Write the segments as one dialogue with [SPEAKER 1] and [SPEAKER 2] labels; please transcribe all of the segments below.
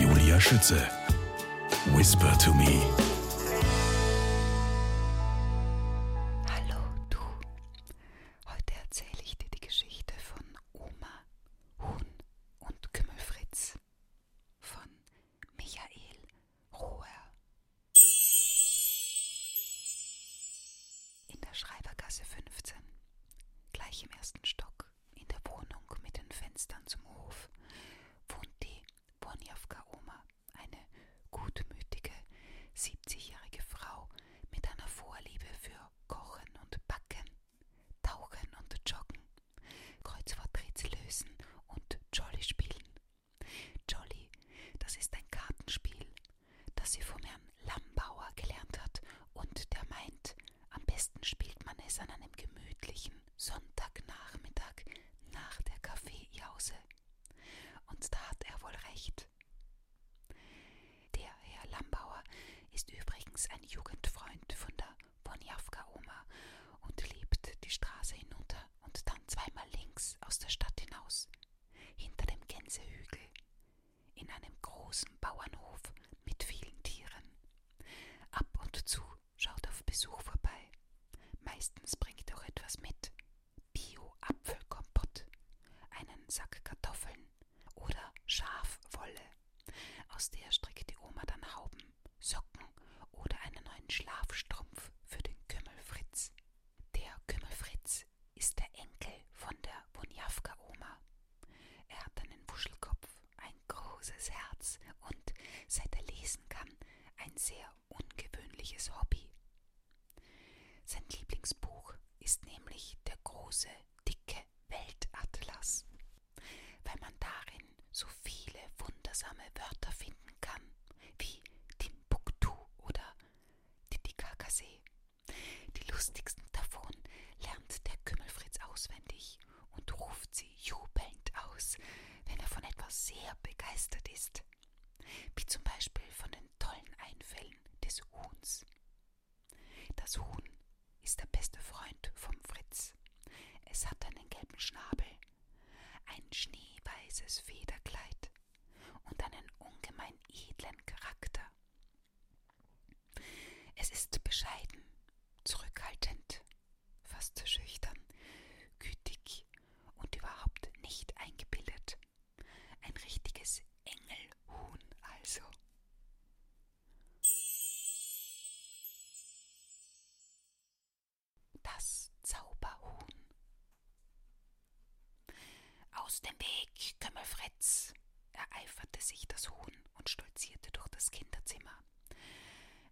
[SPEAKER 1] Julia Schütze. Whisper to me. Hallo du. Heute erzähle ich dir die Geschichte von Oma, Huhn und Kümmelfritz von Michael Roher. In der Schreibergasse 15, gleich im ersten Stock in der Wohnung mit den Fenstern zum Hof, wohnt die Bonjavka-Oma, eine gutmütige, 70-jährige Frau mit einer Vorliebe für Kochen und Backen, Tauchen und Joggen, Kreuzworträtsel lösen und Jolly spielen. Jolly, das ist ein Kartenspiel, das sie vom Herrn Lambauer gelernt hat und der meint, am besten spielt man es an einem gemütlichen Sonntagnachmittag nach der Kaffeejause. Und da hat er wohl recht. Der Herr Lambauer ist übrigens ein Jugendfreund von der Bonjavka-Oma und lebt die Straße hinunter und dann zweimal links aus der Stadt hinaus, hinter dem Gänsehügel in einem großen Bauernhof mit vielen Tieren. Ab und zu schaut auf Besuch vorbei. Meistens bringt auch etwas mit. Bio-Apfelkompott, einen Sack Kartoffeln oder Schafwolle. Aus der strickt die Oma dann Hauben, Socken oder einen neuen Schlafstrumpf für den Kümmelfritz. Der Kümmelfritz ist der Enkel von der Bunjavka-Oma. Er hat einen Wuschelkopf, ein großes Herz und, seit er lesen kann, ein sehr ungewöhnliches Hobby. Sein Lieblingsbuch ist nämlich der große, dicke Weltatlas, weil man darin so viele wundersame Wörter finden kann, wie Timbuktu oder Titicacasee die lustigsten davon lernt der Kümmelfritz auswendig und ruft sie jubelnd aus, wenn er von etwas sehr begeistert ist, wie zum Beispiel von den tollen Einfällen des Huhns. Das Huhn ist der beste Freund vom Fritz. Es hat einen gelben Schnabel, ein schneeweißes Federkleid und einen ungemein edlen Charakter. Es ist bescheiden, zurückhaltend, fast schüchtern, gütig und überhaupt nicht eingebildet. Ein richtiges Engelhuhn also. Das Zauberhuhn. Aus dem Weg, Kümmelfritz! ereiferte sich das Huhn und stolzierte durch das Kinderzimmer.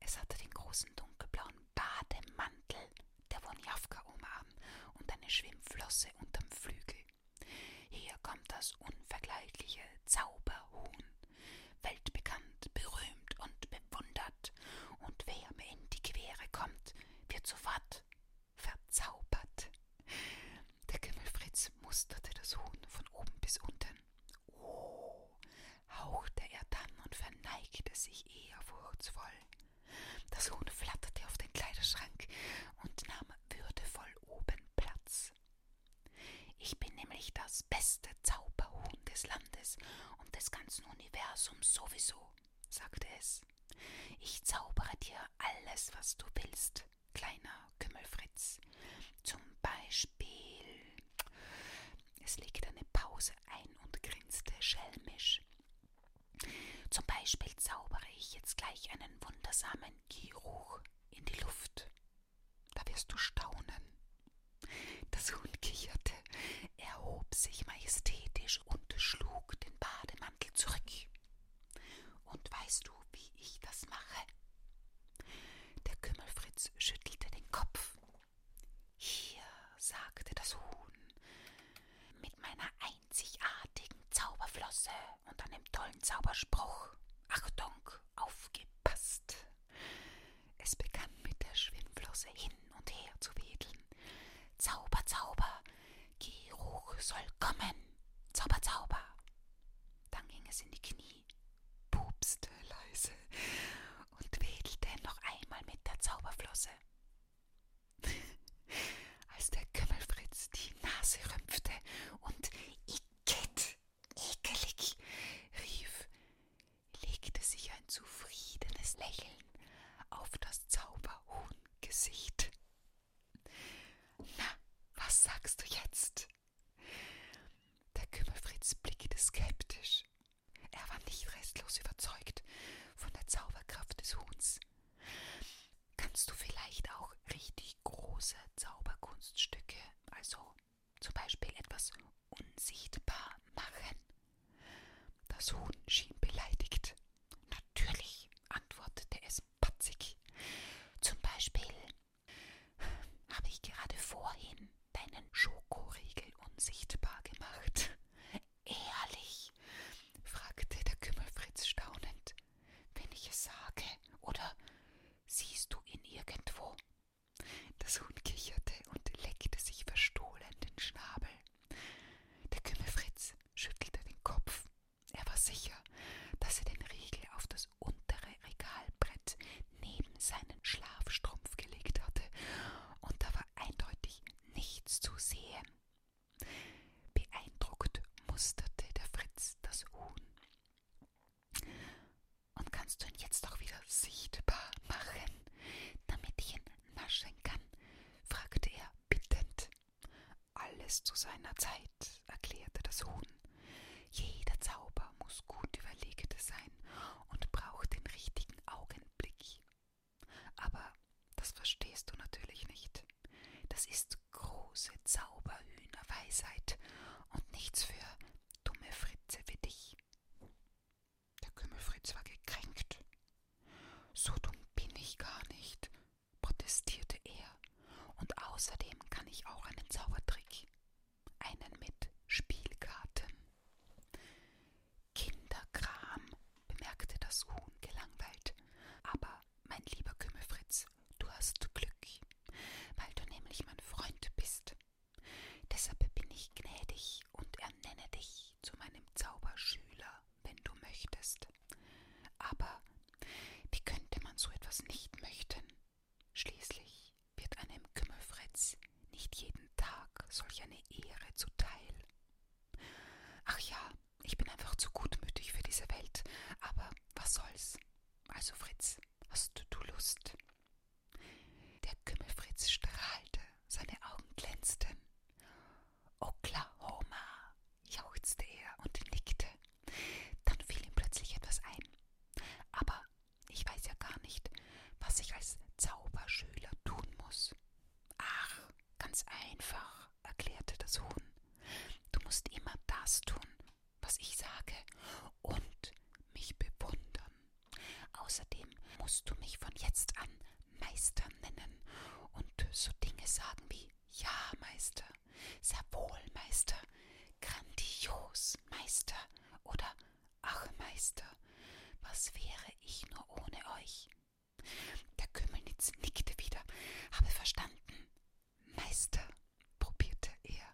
[SPEAKER 1] Es hatte den großen dunkelblauen Bademantel der Wonjawka um an und eine Schwimmflosse unterm Flügel. Hier kommt das unvergleichliche Zauberhuhn, weltbekannt, berühmt und bewundert, und wer mir in die Quere kommt, wird sofort Verzaubert. Der Gimmelfritz musterte das Huhn von oben bis unten. Oh, hauchte er dann und verneigte sich ehrfurchtsvoll. Das Huhn flatterte auf den Kleiderschrank und nahm würdevoll oben Platz. Ich bin nämlich das beste Zauberhuhn des Landes und des ganzen Universums sowieso, sagte es. Fritz. Ich zaubere dir alles, was du willst, kleiner Kümmelfritz. Zum Beispiel. Es legte eine Pause ein und grinste schelmisch. Zum Beispiel zaubere ich jetzt gleich einen wundersamen Geruch in die Luft. Da wirst du staunen. Das Huhn kicherte erhob sich majestätisch und schlug den Bademantel zurück. Und weißt du, wie ich das mache? Der Kümmelfritz schüttelte den Kopf. Hier, sagte das Huhn, mit meiner einzigartigen Zauberflosse und einem tollen Zauberspruch. Achtung, aufgepasst! Es begann mit der Schwimmflosse hin und her zu wedeln. Zauber, Zauber, Geruch soll kommen. Zauber, Zauber. Dann ging es in die Knie, pupste leise und wedelte noch einmal mit der Zauberflosse. Als der Kümmelfritz die Nase rümpfte und icket, ekelig rief, legte sich ein zufriedenes Lächeln auf das Zauberhuhn-Gesicht. Na, was sagst du jetzt? Der Kümmerfritz blickte skeptisch. Er war nicht restlos überzeugt von der Zauberkraft des Huhns. Kannst du vielleicht auch richtig große Zauberkunststücke, also zum Beispiel etwas unsichtbar machen? Das Huhn schien beleidigt. Natürlich, antwortete es patzig. Zum Beispiel habe ich gerade vorhin deinen Schokoriegel unsichtbar gemacht. Ehrlich? fragte der Kümmelfritz staunend. Wenn ich es sage, oder siehst du ihn irgendwo? Das Huhn kicherte und leckte sich verstohlen den Schnabel. Der Kümmelfritz schüttelte den Kopf. Er war sicher, dass er den Riegel auf das untere Regalbrett neben seinen Schlafstrumpf gelegt hatte, und da war eindeutig nichts zu sehen. Beeindruckt musterte der Fritz das Huhn. Und kannst du ihn jetzt auch wieder sichtbar machen, damit ich ihn naschen kann? fragte er bittend. Alles zu seiner Zeit, erklärte das Huhn. Jeder Zauber muss gut überlegt sein und braucht den richtigen Augenblick. Aber das verstehst du natürlich nicht. Das ist große Zauberhühnerweisheit und nichts für dumme Fritze wie dich mich. Der Kümmelfritz war gekränkt. So dumm bin ich gar nicht, protestierte er, und außerdem kann ich auch einen Zaubertrick, einen mit Spielkarten. Kinderkram, bemerkte das Huhn gelangweilt, aber mein lieber Kümmelfritz, du hast Glück, weil du nämlich mein Freund bist. Deshalb bin ich gnädig und ernenne dich zu meinem Zauberschüler, wenn du möchtest. Aber wie könnte man so etwas nicht möchten? Schließlich wird einem Kümmelfretz nicht jeden Tag solch eine Ehre zuteil. Ach ja, ich bin einfach zu gutmütig für diese Welt, aber was soll's? Also Fritz, hast du Lust? Der Kümmelfritz strahlte, seine Augen glänzten. Oklahoma, jauchzte er und nickte. Dann fiel ihm plötzlich etwas ein. Aber ich weiß ja gar nicht, was ich als Zauberschüler tun muss. Ach, ganz einfach, erklärte das Huhn. Du musst immer das tun, was ich sage und mich bewundern. Außerdem musst du mich von jetzt an Meister nennen und so Dinge sagen wie Ja, Meister, sehr wohl, Meister, grandios, Meister oder Ach, Meister, was wäre ich nur ohne euch? Der Kümmelnitz nickte wieder, habe verstanden, Meister, probierte er.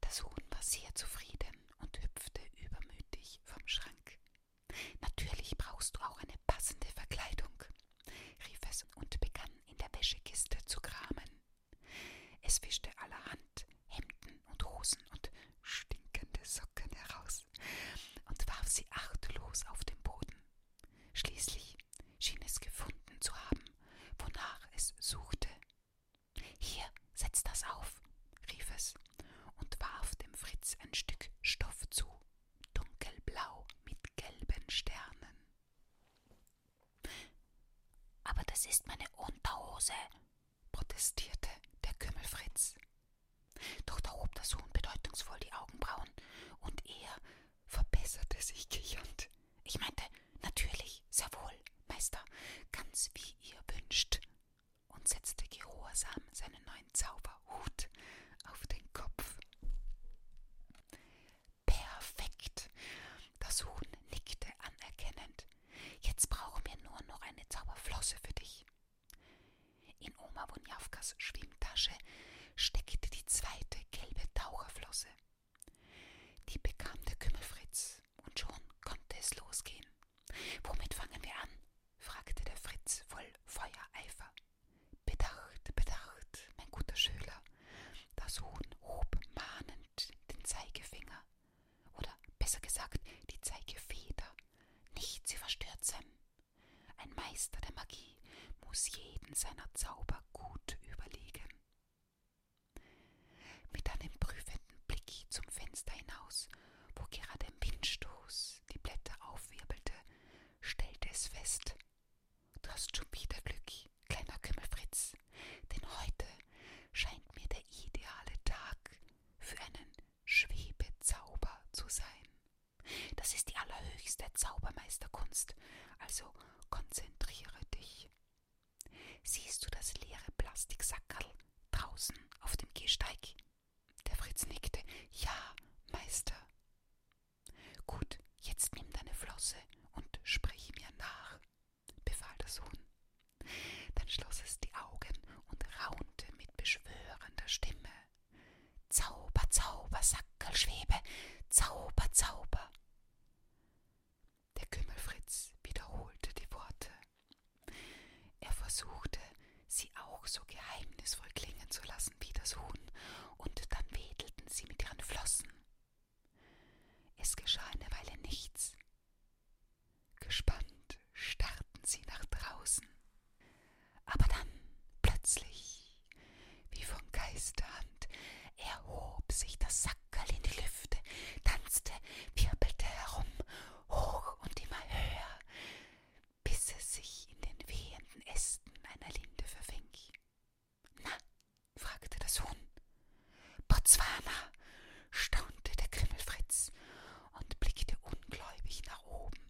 [SPEAKER 1] Das Huhn war sehr zufrieden und hüpfte übermütig vom Schrank. Natürlich brauchst du auch eine passende Verkleidung, rief es und begann in der Wäschekiste zu kramen. Es wischte allerhand Hemden und Hosen und stinkende Socken heraus und warf sie achtlos auf den Boden. Schließlich schien es gefunden zu haben, wonach es suchte. Hier, setz das auf, rief es und warf dem Fritz ein Stück Stoff zu, dunkelblau mit gelben Sternen. Aber das ist meine Unterhose, protestierte der Kümmelfritz. Doch da hob das Huhn bedeutungsvoll die Augenbrauen, und ehe verbesserte sich kichernd. Ich meinte, natürlich, sehr wohl, Meister, ganz wie ihr wünscht, und setzte gehorsam seinen neuen Zauberhut auf den Kopf. Perfekt. Das Huhn nickte anerkennend. Jetzt brauchen wir nur noch eine Zauberflosse für dich. In Oma Wonjawkas Schwimmtasche steckte die zweite gelbe Taucherflosse. Die bekam der Kümmelfritz, und schon konnte es losgehen. Womit fangen wir an? fragte der Fritz voll Feuereifer. Bedacht, bedacht, mein guter Schüler. Das Huhn hob mahnend den Zeigefinger. Oder besser gesagt, die Zeigefeder. Nicht sie verstört sein, ein Meister der Magie muss jeden seiner Zauber gut überlegen. Mit einem prüfenden Blick zum Fenster hinaus, wo gerade ein Windstoß die Blätter aufwirbelte, stellte es fest. Du hast schon wieder Glück, kleiner Kümmelfritz, denn heute scheint mir der ideale Tag für einen Schwebezauber zu sein. Das ist die allerhöchste Zaubermeisterkunst, also konzentriere dich. Siehst du das leere Plastiksackerl draußen auf dem Gehsteig? Der Fritz nickte. Ja, Meister. Gut, jetzt nimm deine Flosse und sprich mir nach, befahl der Sohn. Dann schloss es die Augen und raunte mit beschwörender Stimme. Zauber, Zauber, Sackelschwebe, Zauber, Zauber. Der Kümmelfritz wiederholte die Worte. Er versuchte, sie auch so geheimnisvoll klingen zu lassen wie das Huhn, und dann wedelten sie mit ihren Flossen. Es geschah eine Weile nichts. Gespannt starrten sie nach draußen. Aber dann plötzlich, wie von Geisterhand, erhob sich das Sackerl in die Lüfte, tanzte, wirbelte herum, hoch und immer höher, bis es sich in den wehenden Ästen einer Linde verfing. Na, fragte das Huhn. Botswana, staunte der Grimmelfritz und blickte ungläubig nach oben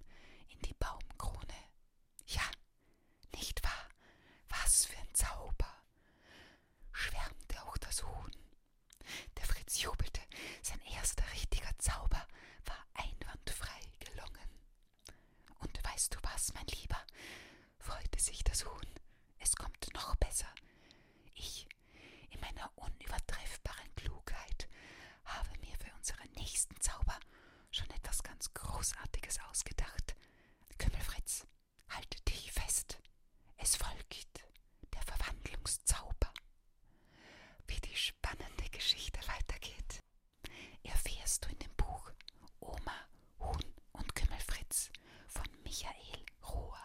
[SPEAKER 1] in die Baumkrone. Ja, nicht wahr? Was für ein Zauber! schwärmte auch das Huhn. Der Fritz jubelte, sein erster richtiger Zauber war einwandfrei gelungen. Und weißt du was, mein Lieber? freute sich das Huhn. Es kommt noch besser. Ich in meiner unübertreffbaren Klugheit habe mir für unseren nächsten Zauber schon etwas ganz Großartiges ausgedacht. Kümmelfritz, halte dich fest. Es folgt der Verwandlungszauber. Wie die spannende Geschichte weitergeht, erfährst du in dem Buch Oma, Huhn und Kümmelfritz von Michael Rohr.